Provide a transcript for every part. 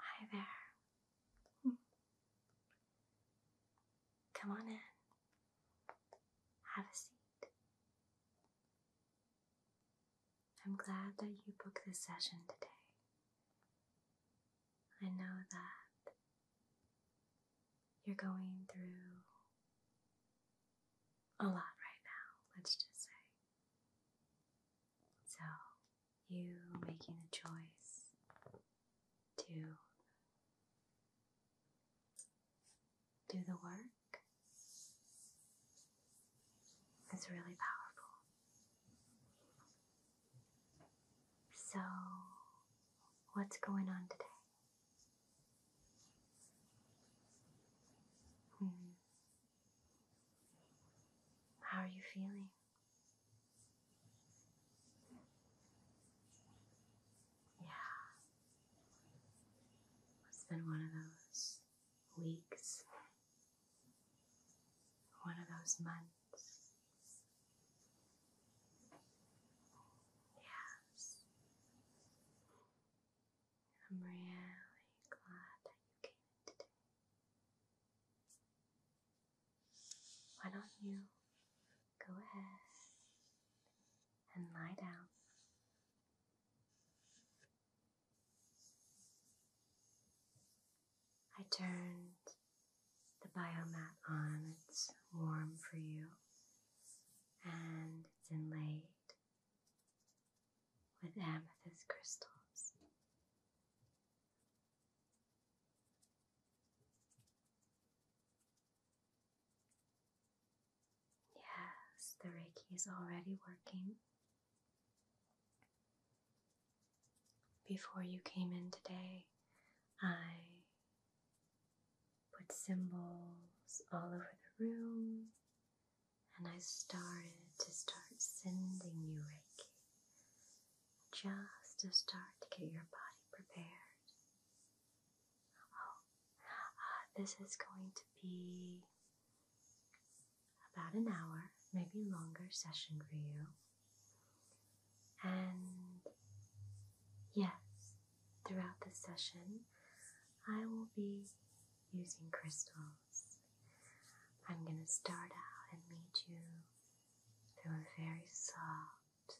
Hi there. Come on in. Have a seat. I'm glad that you booked this session today. I know that you're going through a lot right now, let's just say. So, you making the choice to do the work is really powerful. So, what's going on today? Hmm. How are you feeling? Yeah. It's been one of those weeks, one of those months. Yes. I'm really glad that you came today. Why don't you go ahead and lie down? I turned the biomat on, it's warm for you and it's inlaid with amethyst crystals. Yes, the Reiki is already working. Before you came in today, I put symbols all over the room and I started to start sending you Reiki just to start to get your body prepared. Oh, uh, this is going to be about an hour, maybe longer session for you. And yes, throughout the session, I will be using crystals I'm going to start out and meet you through a very soft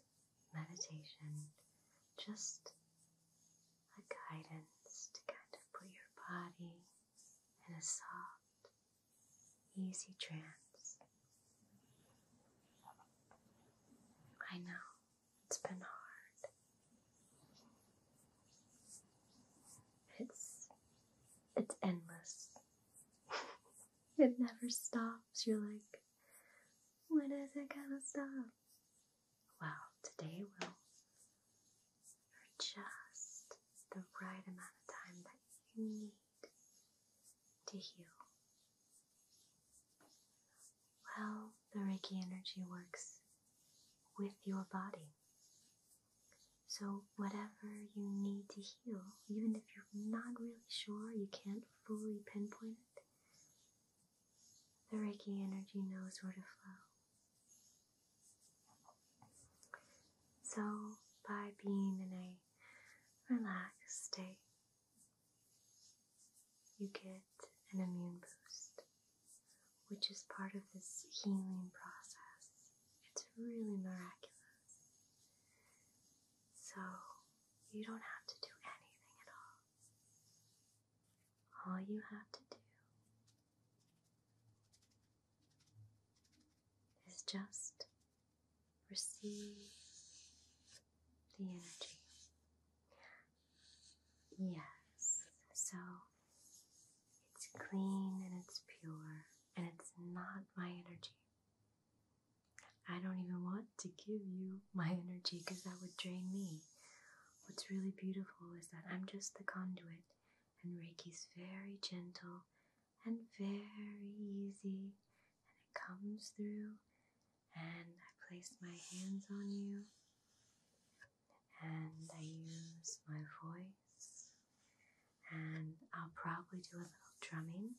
meditation, just a guidance to kind of put your body in a soft, easy trance. I know it's been hard. It's it's endless. it never stops. You're like, when is it gonna stop? Well, today will. For just the right amount of time that you need to heal. Well, the Reiki energy works with your body. So, whatever you need to heal, even if you're not really sure, you can't fully pinpoint it, the Reiki energy knows where to flow. So, by being in a relaxed state, you get an immune boost, which is part of this healing process. It's really miraculous. So, you don't have to do anything at all. All you have to do is just receive the energy. Yes, so it's clean and it's pure and it's not my energy. I don't even want to give you my energy because that would drain me. What's really beautiful is that I'm just the conduit, and Reiki's very gentle and very easy, and it comes through. And I place my hands on you, and I use my voice, and I'll probably do a little drumming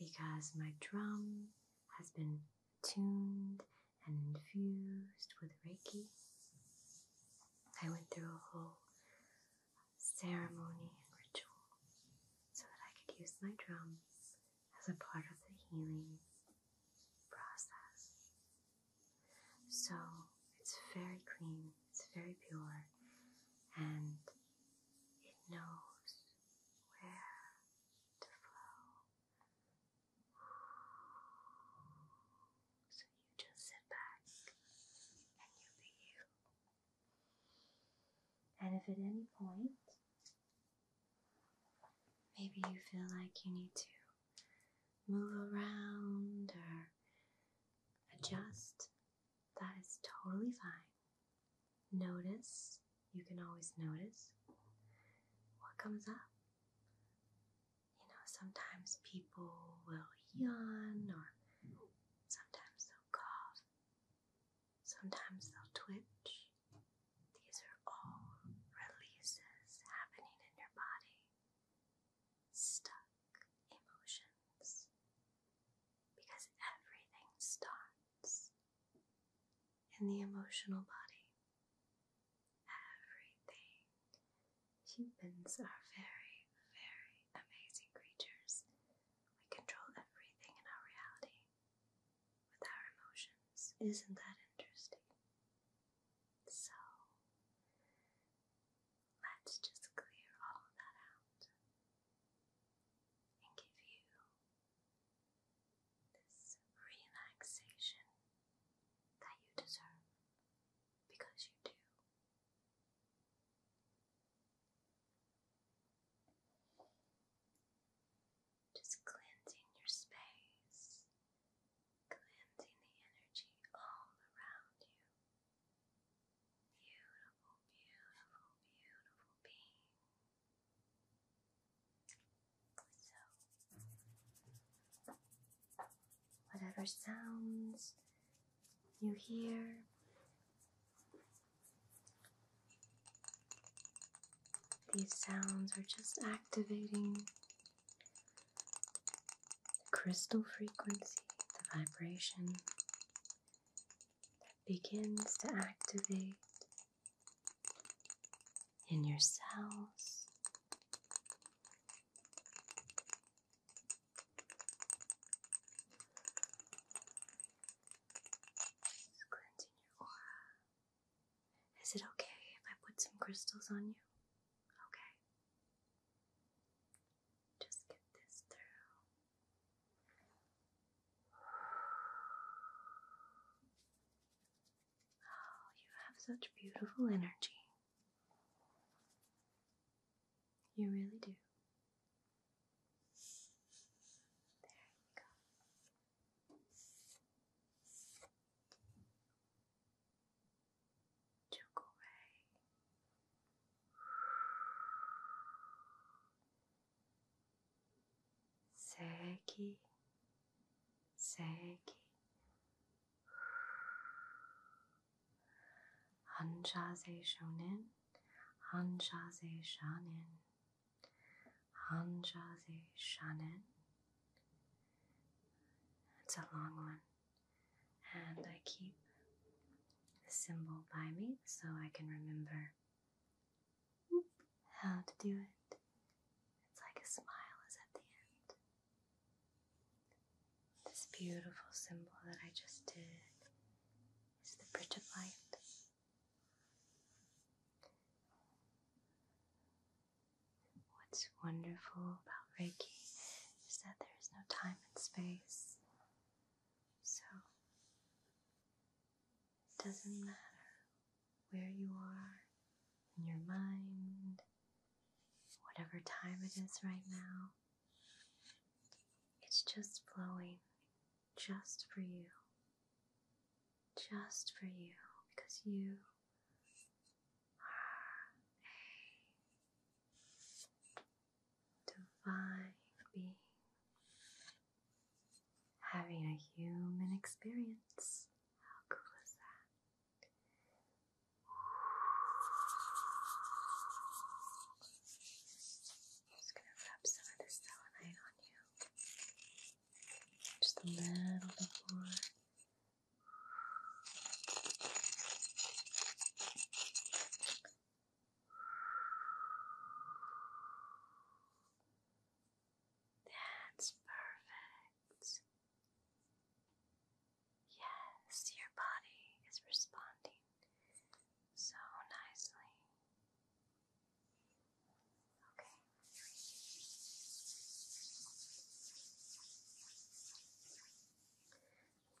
because my drum has been tuned and infused with Reiki. I went through a whole ceremony and ritual so that I could use my drum as a part of the healing process. So it's very clean, it's very pure, and it knows where to flow. So you just sit back and you be you. And if at any point maybe you feel like you need to move around or adjust. That is totally fine. Notice, you can always notice what comes up. You know, sometimes people will yawn, or sometimes they'll cough, sometimes they'll twitch. These are all releases happening in your body stuck emotions because everything starts in the emotional body. Everything. Humans are very, very amazing creatures. We control everything in our reality with our emotions. Isn't that interesting? So, Let's just clear all of that out and give you this relaxation that you deserve because you do. Just cleansing your space, cleansing the energy all around you. Beautiful, beautiful, beautiful being. So, whatever sounds you hear, these sounds are just activating the crystal frequency, the vibration that begins to activate in your cells. cleansing your aura. Is it okay if I put some crystals on you? Okay. Just get this through. Oh, you have such beautiful energy. You really do. There you go took away. Segue, segue. Hanja shonen, hanja se shanen, hanja It's a long one. And I keep the symbol by me so I can remember how to do it. It's like a smile is at the end. This beautiful symbol that I just did is the Bridge of Light. What's wonderful about Reiki is that there is no time and space. So, it doesn't matter where you are in your mind, whatever time it is right now, it's just flowing just for you. Just for you, because you are a divine being having a human experience. How cool is that? just gonna rub some of this selenite on you. Just a little bit more. That's perfect. Yes, your body is responding so nicely. Okay.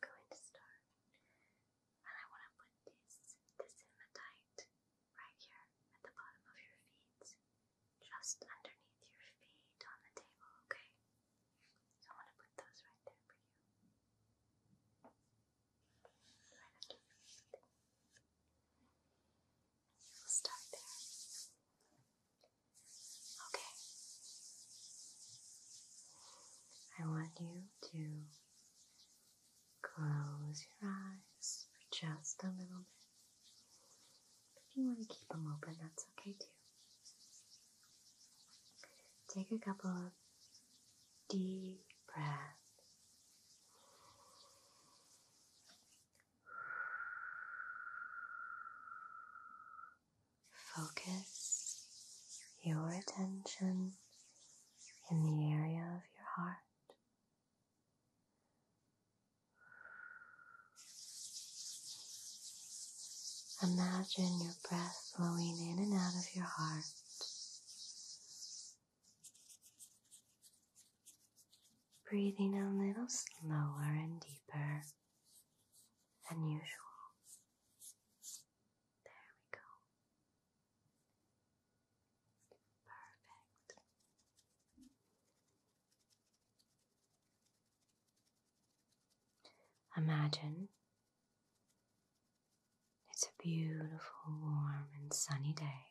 I'm going to start and I want to put this, this hematite right here at the bottom of your feet, just underneath your feet on the table, okay? So I want to put those right there for you. Right under your feet. we'll start there. Okay. I want you to close your eyes for just a little bit. If you want to keep them open, that's okay too. Take a couple of deep breaths. Focus your attention in the area of your heart. Imagine your breath flowing in and out of your heart. Breathing a little slower and deeper than usual. There we go. Perfect. Imagine it's a beautiful, warm, and sunny day.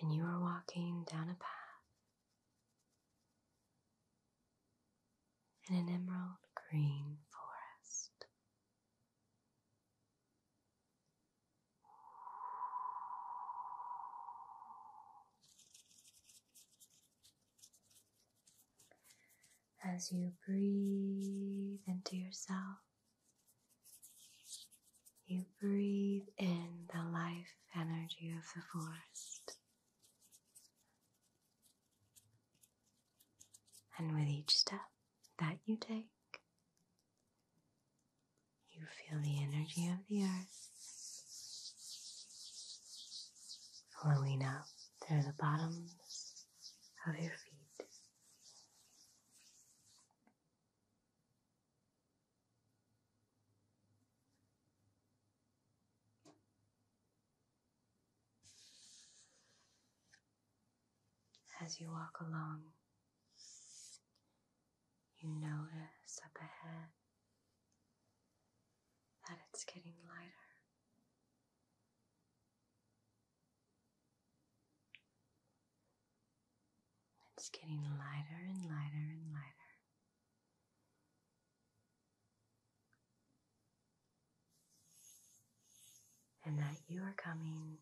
And you are walking down a path in an emerald green forest. As you breathe into yourself, you breathe in the life energy of the forest. And with each step that you take, you feel the energy of the earth flowing up through the bottoms of your feet. As you walk along, you notice up ahead that it's getting lighter. It's getting lighter and lighter and lighter and that you are coming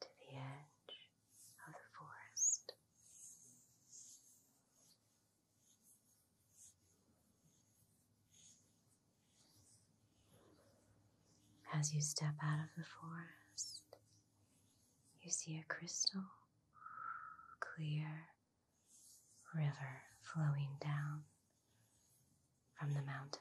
to the edge of the forest. As you step out of the forest, you see a crystal clear river flowing down from the mountains.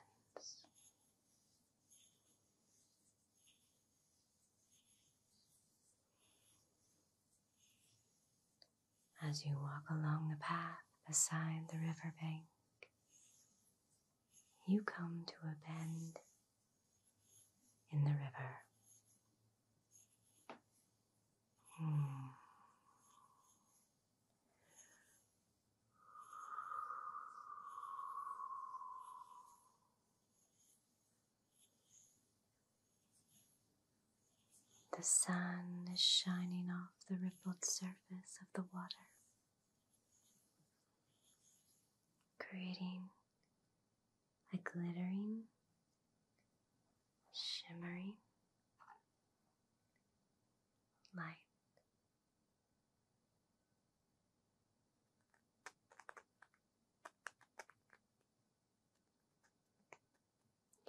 As you walk along the path beside the riverbank, you come to a bend in the river. Hmm. The sun is shining off the rippled surface of the water, creating a glittering, shimmering light.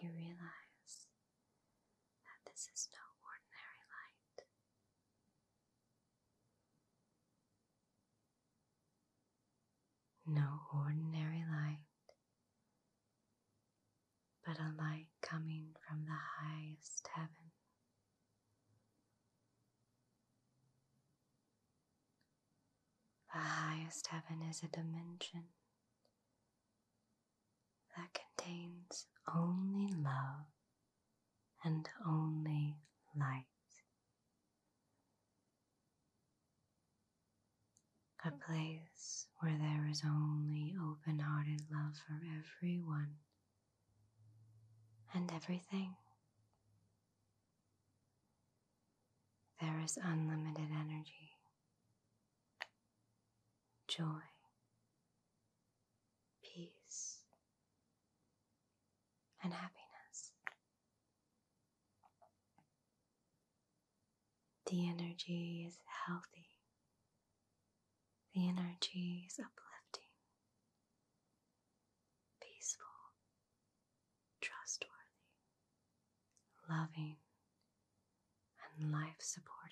You realize that this is no ordinary light. No ordinary light, but a light coming from the highest heaven. The highest heaven is a dimension that contains only love and only light. A place where there is only open hearted love for everyone and everything. There is unlimited energy, joy, peace, and happiness. The energy is healthy. The energy is uplifting, peaceful, trustworthy, loving, and life supporting.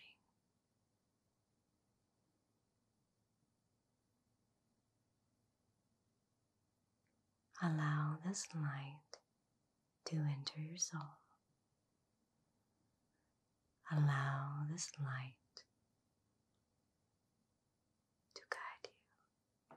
Allow this light to enter your soul. Allow this light to guide you.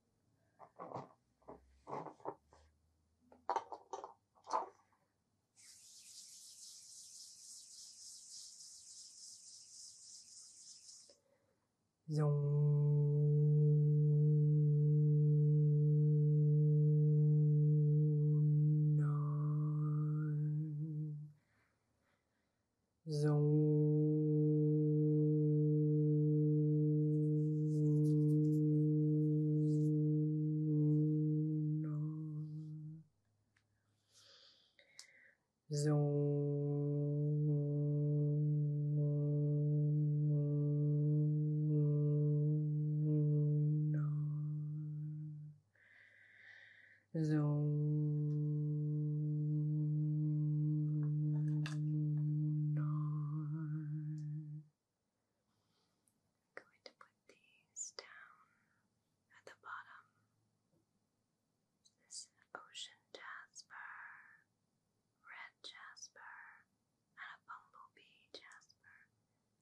Zoom. Zoom. Zoom. Zoom going to put these down at the bottom. This ocean jasper, red jasper, and a bumblebee jasper.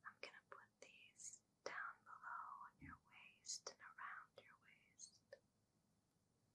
I'm gonna put these down below on your waist and around your waist.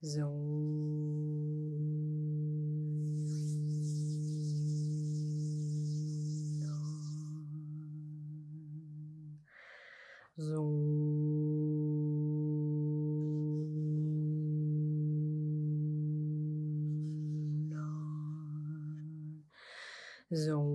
Zoom. Zoom. Zoom.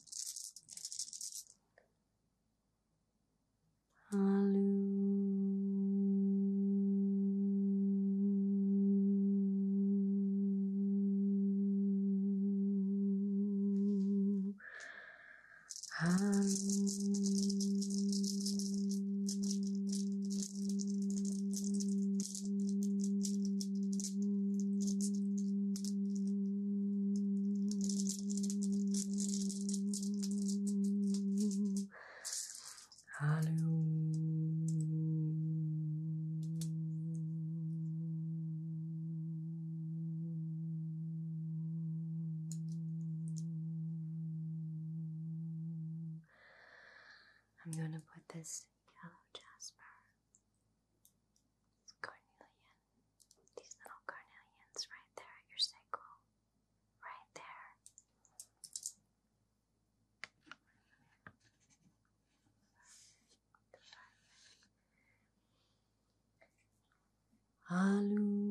Hallelujah. Hallelujah. Hello. I'm going to put this yellow jasper, it's carnelian. These little carnelians right there your sacral, right there. Hallelujah.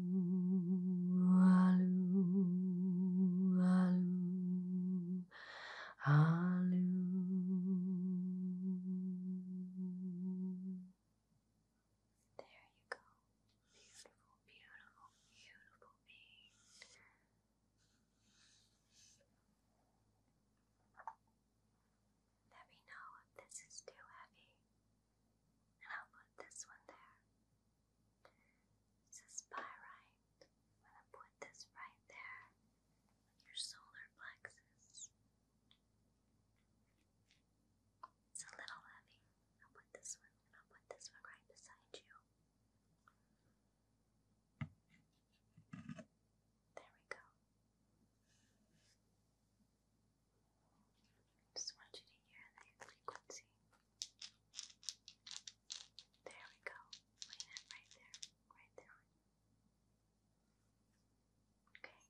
There you go. Beautiful, beautiful, beautiful being. Let me know if this is too heavy, and I'll put this one there. It says pyrite. I'm gonna put this right there on your solar plexus. It's a little heavy. I'll put this one and I'll put this one right beside you. There we go. Just want you to hear that frequency. There we go. Lay that right there, right there. Okay.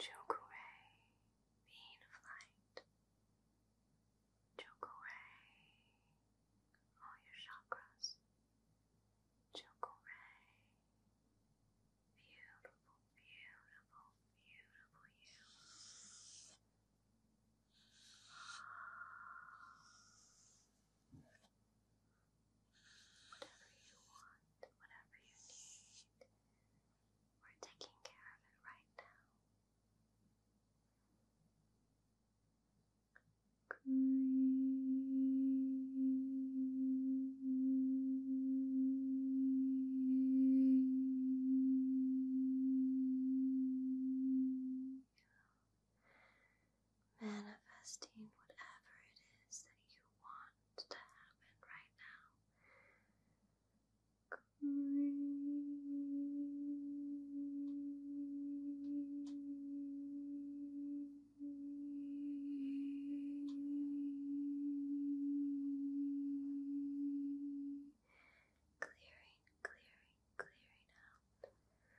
Chokuray, being of light. Chokuray, all your chakras. Chokuray, Beautiful, beautiful, beautiful you. Whatever you want, whatever you need, we're taking care of it right now green. Manifesting whatever it is that you want to happen right now. Green. Clearing, clearing, clearing out. Clearing.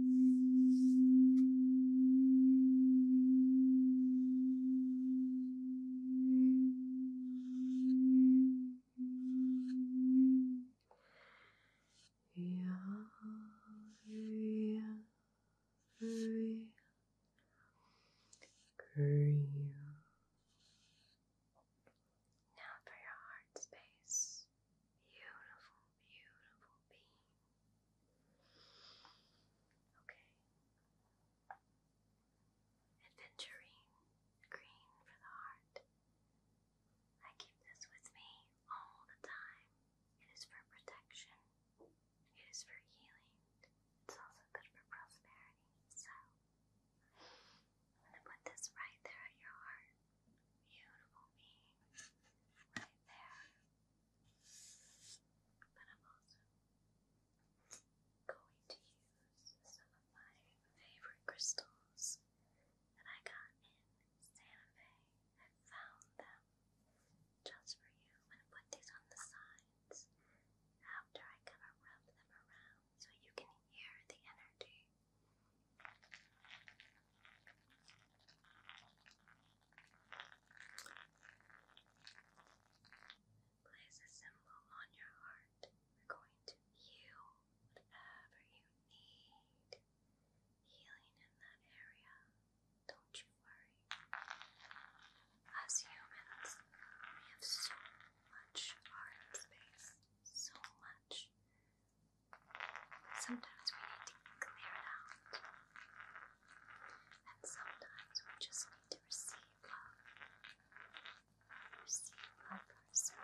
Now for your heart space. Beautiful, beautiful beam. Okay. Adventuring, green for the heart. I keep this with me all the time. It is for protection, it is for healing, it's also good for prosperity. So, I'm going to put this right there at your heart beautiful being right there. But I'm also going to use some of my favorite crystals that I got in Santa Fe. I found them just for you. i put these on the sides after I kind of rub them around so you can hear the energy. Place a symbol on your heart. We're going to heal whatever you need. Healing in that area. Don't you worry. As humans, we have so much heart space, so much Sometimes we need to clear it out, and sometimes we just need to receive love. Receive love for ourselves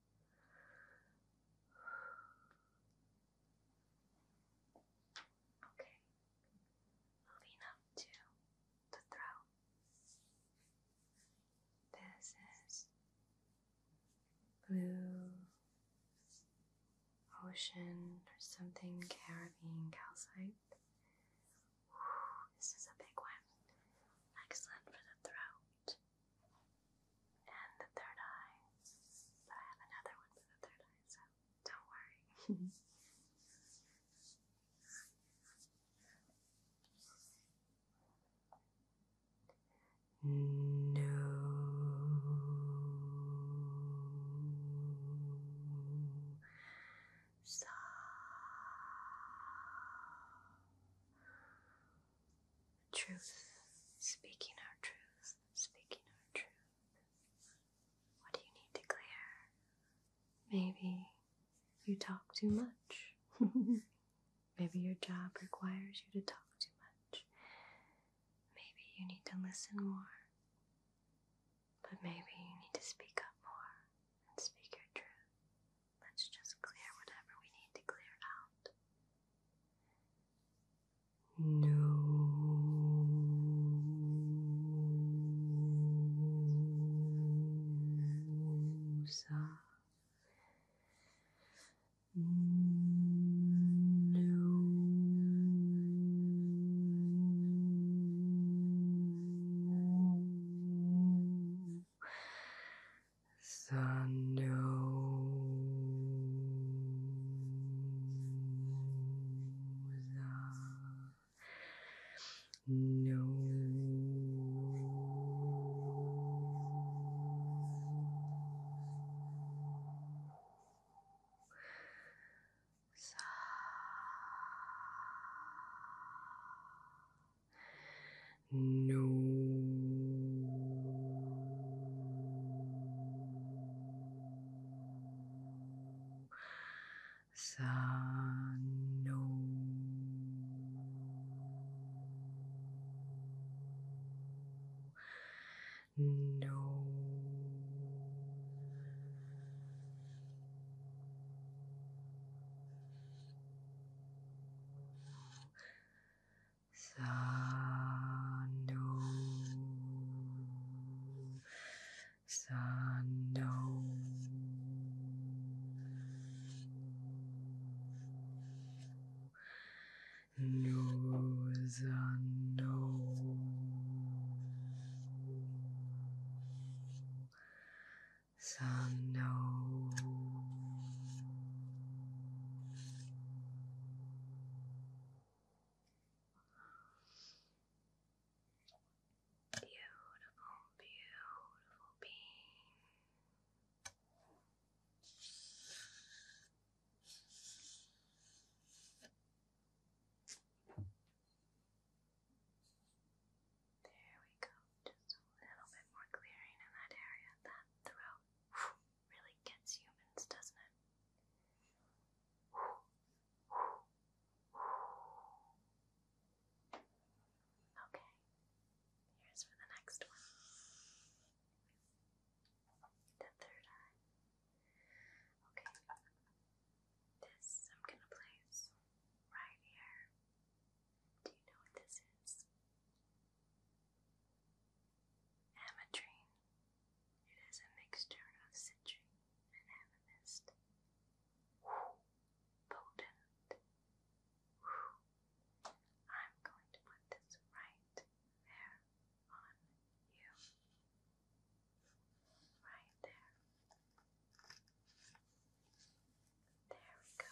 Okay, moving up to the throat. This is blue ocean or something Caribbean calcite. this is a big one. Excellent for the throat and the third eye. But I have another one for the third eye, so don't worry. No. Sa truth, speaking our truth, speaking our truth. What do you need to clear? Maybe you talk too much. Maybe your job requires you to talk too much. Maybe you need to listen more. But maybe you need to speak up more and speak your truth. Let's just clear whatever we need to clear out. No. No. Sando no Sa no. Sa No. Sando, Sando. Nose and nose. Sando, Beautiful, beautiful being. There we go. Just a little bit more clearing in that area, that throat really gets humans, doesn't it? Okay, here's for the next one. The third eye. Okay, this I'm gonna place right here. Do you know what this is? Ametrine. It is a mixture of citrine and amethyst. Potent. I'm going to put this right there on you. Right there. There we go.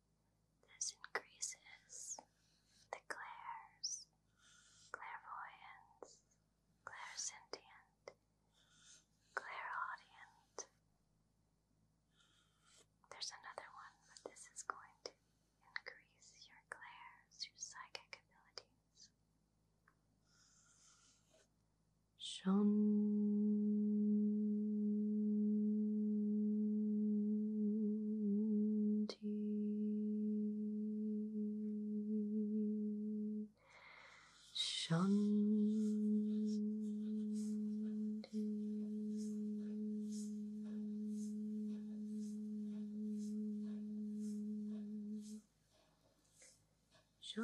This increases the clairs, clairvoyance, clairsentient, clairaudient. There's another one, but this is going to increase your clairs, your psychic abilities. Shun. Shanti. Shanti.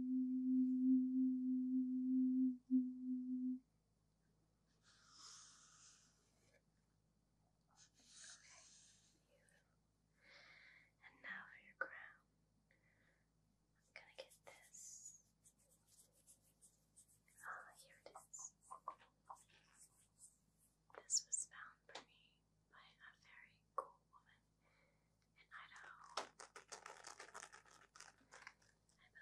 And now for your crown. I'm gonna get this. Ah, here it is. This was found for me by a very cool woman in Idaho. I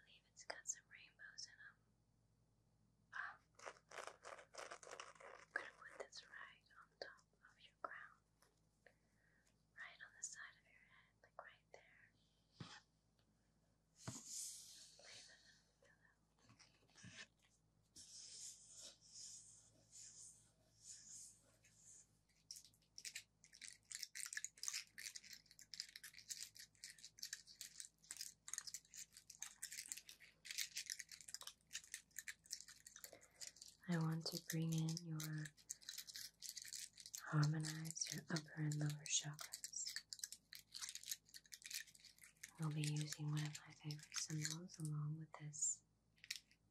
believe it's got some rainbows in them. Um, I'm gonna put this right on top of your crown, right on the side of your head, like right there. I want to bring in your harmonize your upper and lower chakras. We'll be using one of my favorite symbols along with this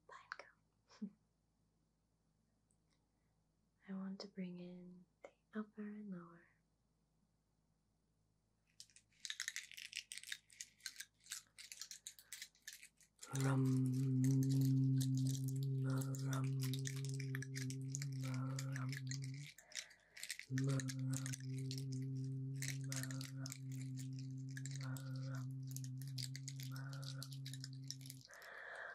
pine cone. I want to bring in the upper and lower.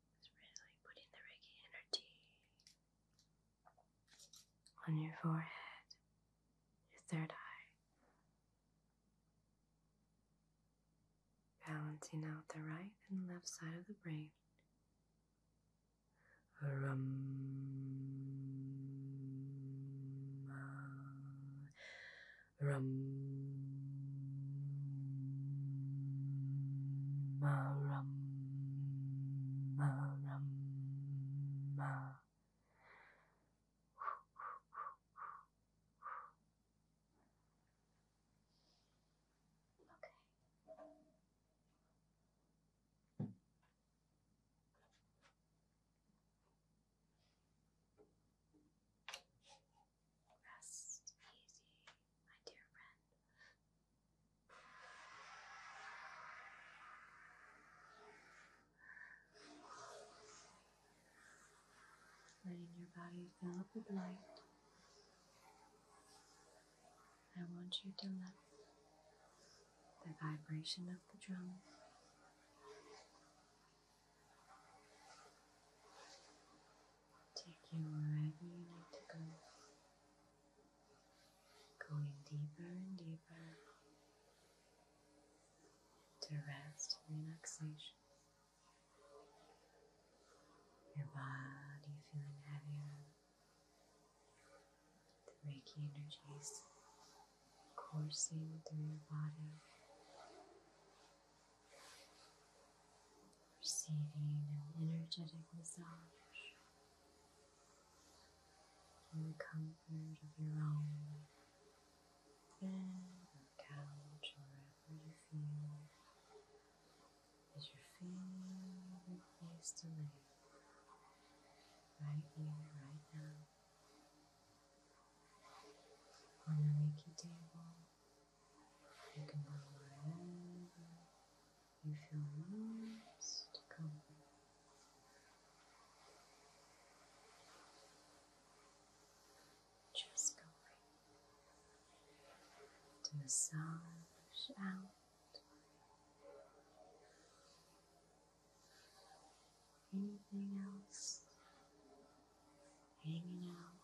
really putting the Reiki energy on your forehead, your third eye. Balancing out the right and left side of the brain. Rum, rum. Ma Maram, maram, maram. Okay. Rest easy, my dear friend. Letting your body fill up with light. I want you to let the vibration of the drum Take you wherever you need to go. Going deeper and deeper to rest and relaxation. Your body feeling heavier. The Reiki energies coursing through your body receiving an energetic massage in the comfort of your own bed or couch wherever you feel as you're place to lay right here, right now on your Reiki table you can go wherever you feel most comfortable. Just going to massage out anything else hanging out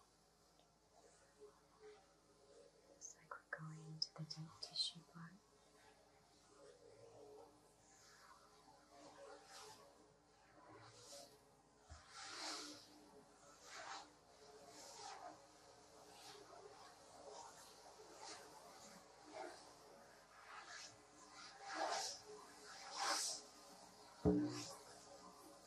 Looks like we're going into the deep tissue part.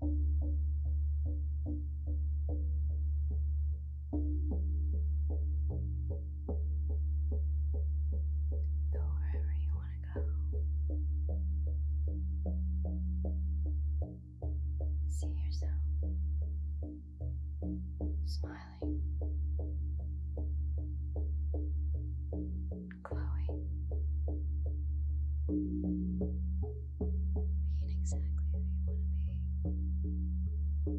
Go wherever you want to go. See yourself smiling. Chloe, being exactly who you want to be.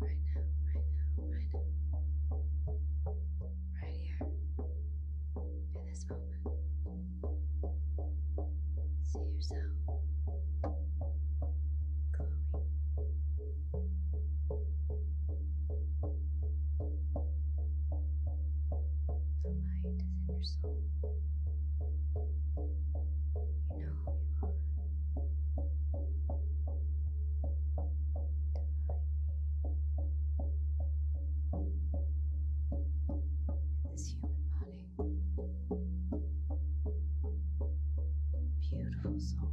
Right now, right now, right now. Right here, in this moment, see yourself glowing, the light is in your soul. You know who you are. Divine being. In this human body. Beautiful soul.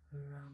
ram.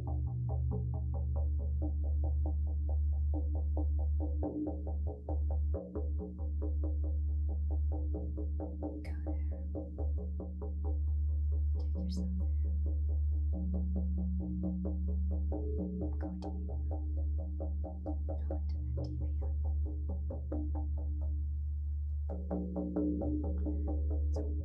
Take yourself there. Go deep. Go into that deep healing. So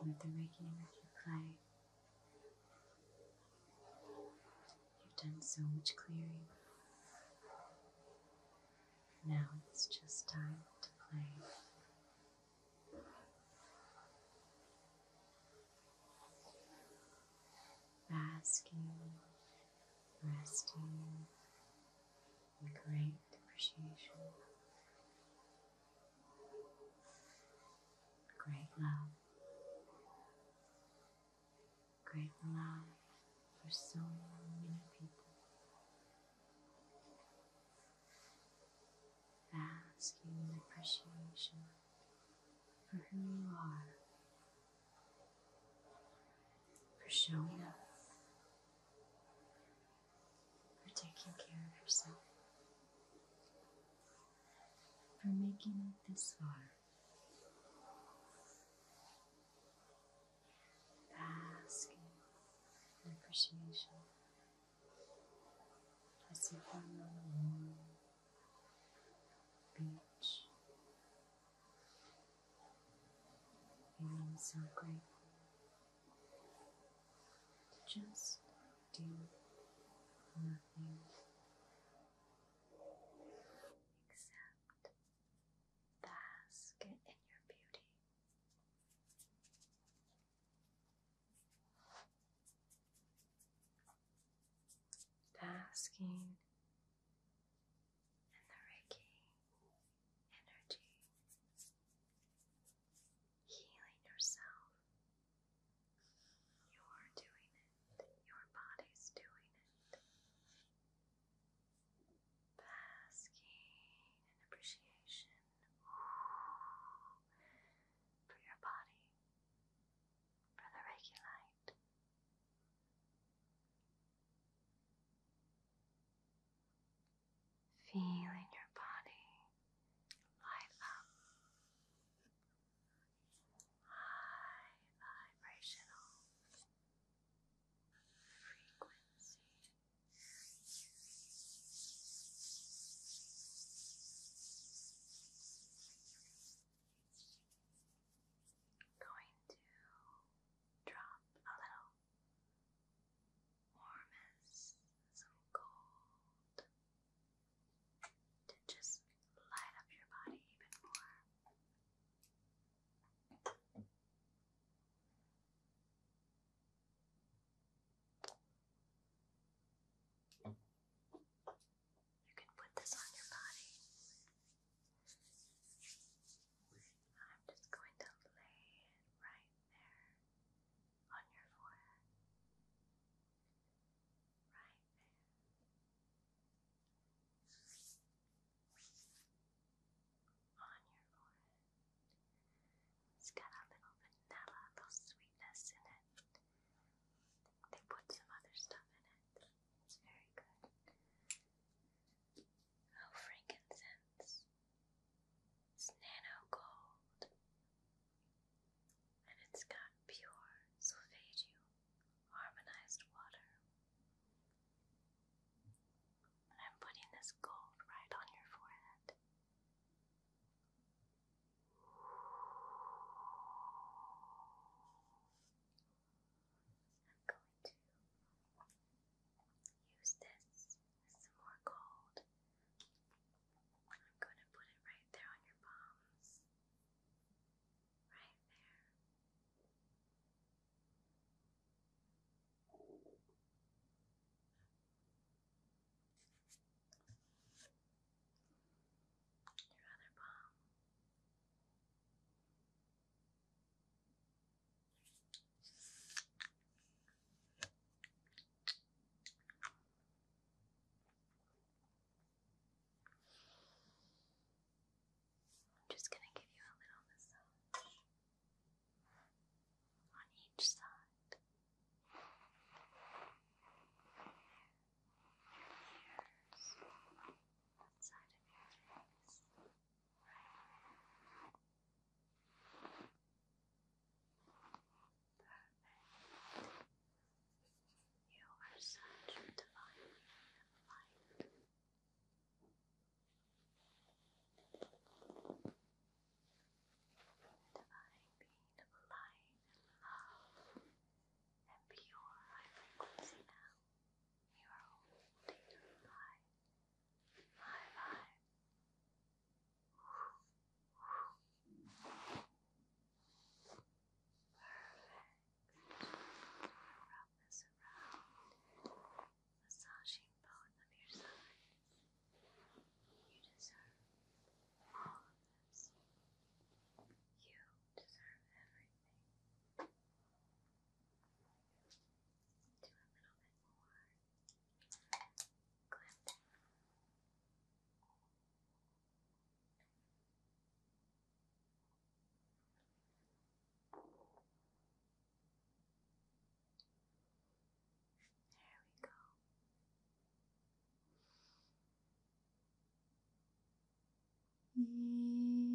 that they're making with your clay. You've done so much clearing. Now it's just time to play. Basking, resting, and great appreciation, great love, great love for so many people. Asking appreciation for who you are, for showing up, for taking care of yourself, for making it this far. Basking in appreciation as you fell the warm beach, feeling so grateful just do nothing except bask in your beauty. Basking in the Reiki energy healing yourself. You are doing it, your body's doing it. Basking in appreciation for your body, for the regulite feeling your body light up, high vibrational frequency. Going to drop a little warm as some gold to just light up your body even more. You can put this on your body. I'm just going to lay it right there on your forehead. Right there. On your forehead. It's got a little vanilla, a little sweetness in it. They put some other stuff in it. It's very good. Oh, frankincense. It's nano gold and it's got pure solfeggio harmonized water. I'm putting this gold right on your forehead. I'm going to use this with some more gold. I'm going to put it right there on your palms. Right there. Your other palm. I'm just going to give you a little massage on each side. Your ears, that side of your face, right perfect. You are such a divine Divine being of light and love and pure frequency now. You are holding high, high vibe. Wrap this around, massaging both of your sides. You deserve all of this. You deserve everything. Do a little bit more clip. There we go.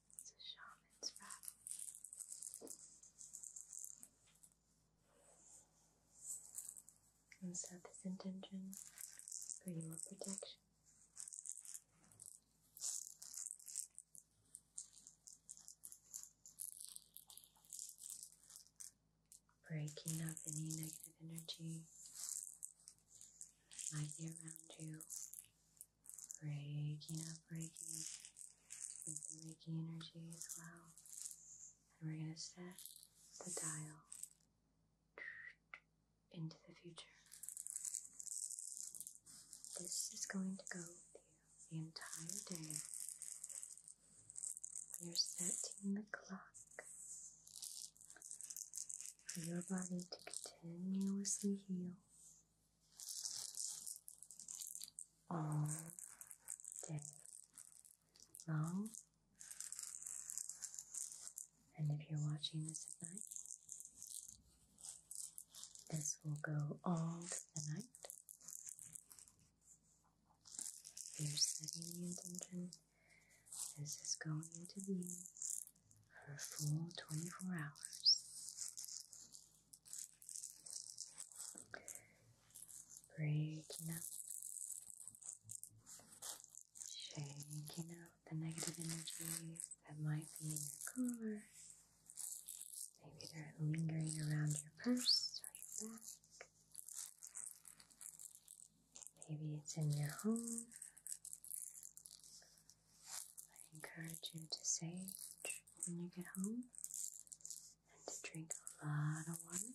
It's a shaman's rattle. And set this intention for your protection. Breaking up any negative energy that might be around you Breaking up breaking, with the Reiki energy as well. And we're going to set the dial into the future. This is going to go the entire day. We are setting the clock for your body to continuously heal all day long. And if you're watching this at night, this will go all night. You're setting the intention. This is going to be for full 24 hours. Breaking up, shaking out the negative energy that might be in your cooler. Maybe they're lingering around your purse or your back. Maybe it's in your home. I encourage you to sage when you get home and to drink a lot of water.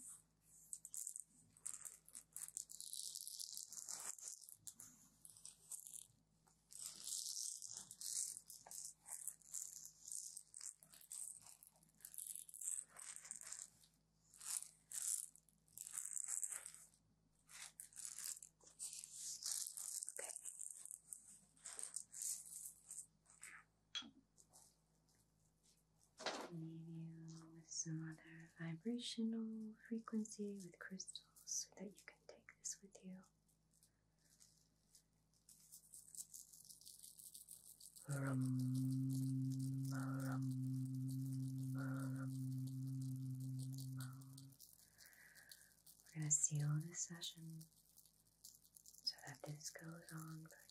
Okay. some other vibrational frequency with crystals that you can take this with you. We're going to seal this session so that this goes on for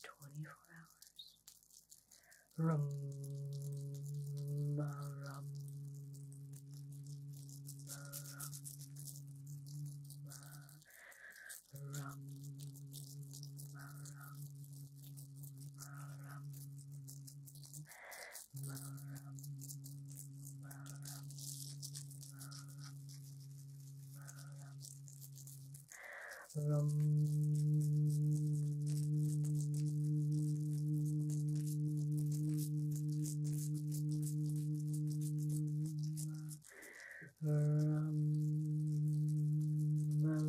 24 hours rum rum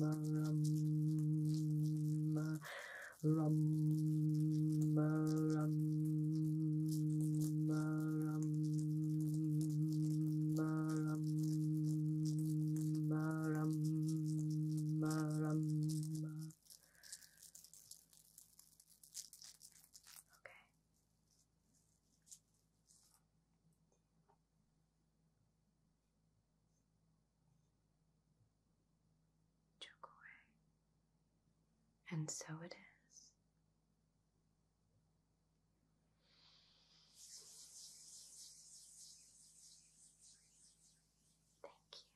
rum rum rum, rum, rum, rum, rum, rum. Okay took away. And so it is. Thank you.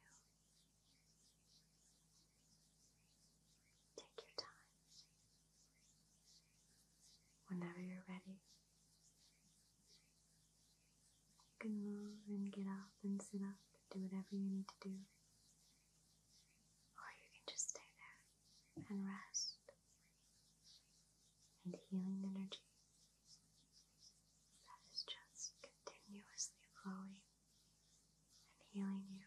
Take your time. Whenever you're ready, you can move and get up and sit up, do whatever you need to do. Or you can just stay there and rest and healing energy that is just continuously flowing and healing you.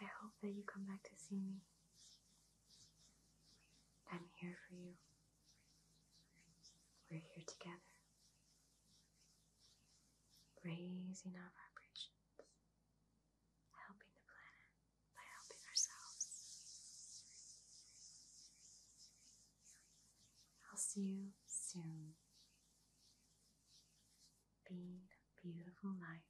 I hope that you come back to see me. I'm here for you. We're here together, raising our vibrations, helping the planet by helping ourselves. I'll see you soon. Being a beautiful night.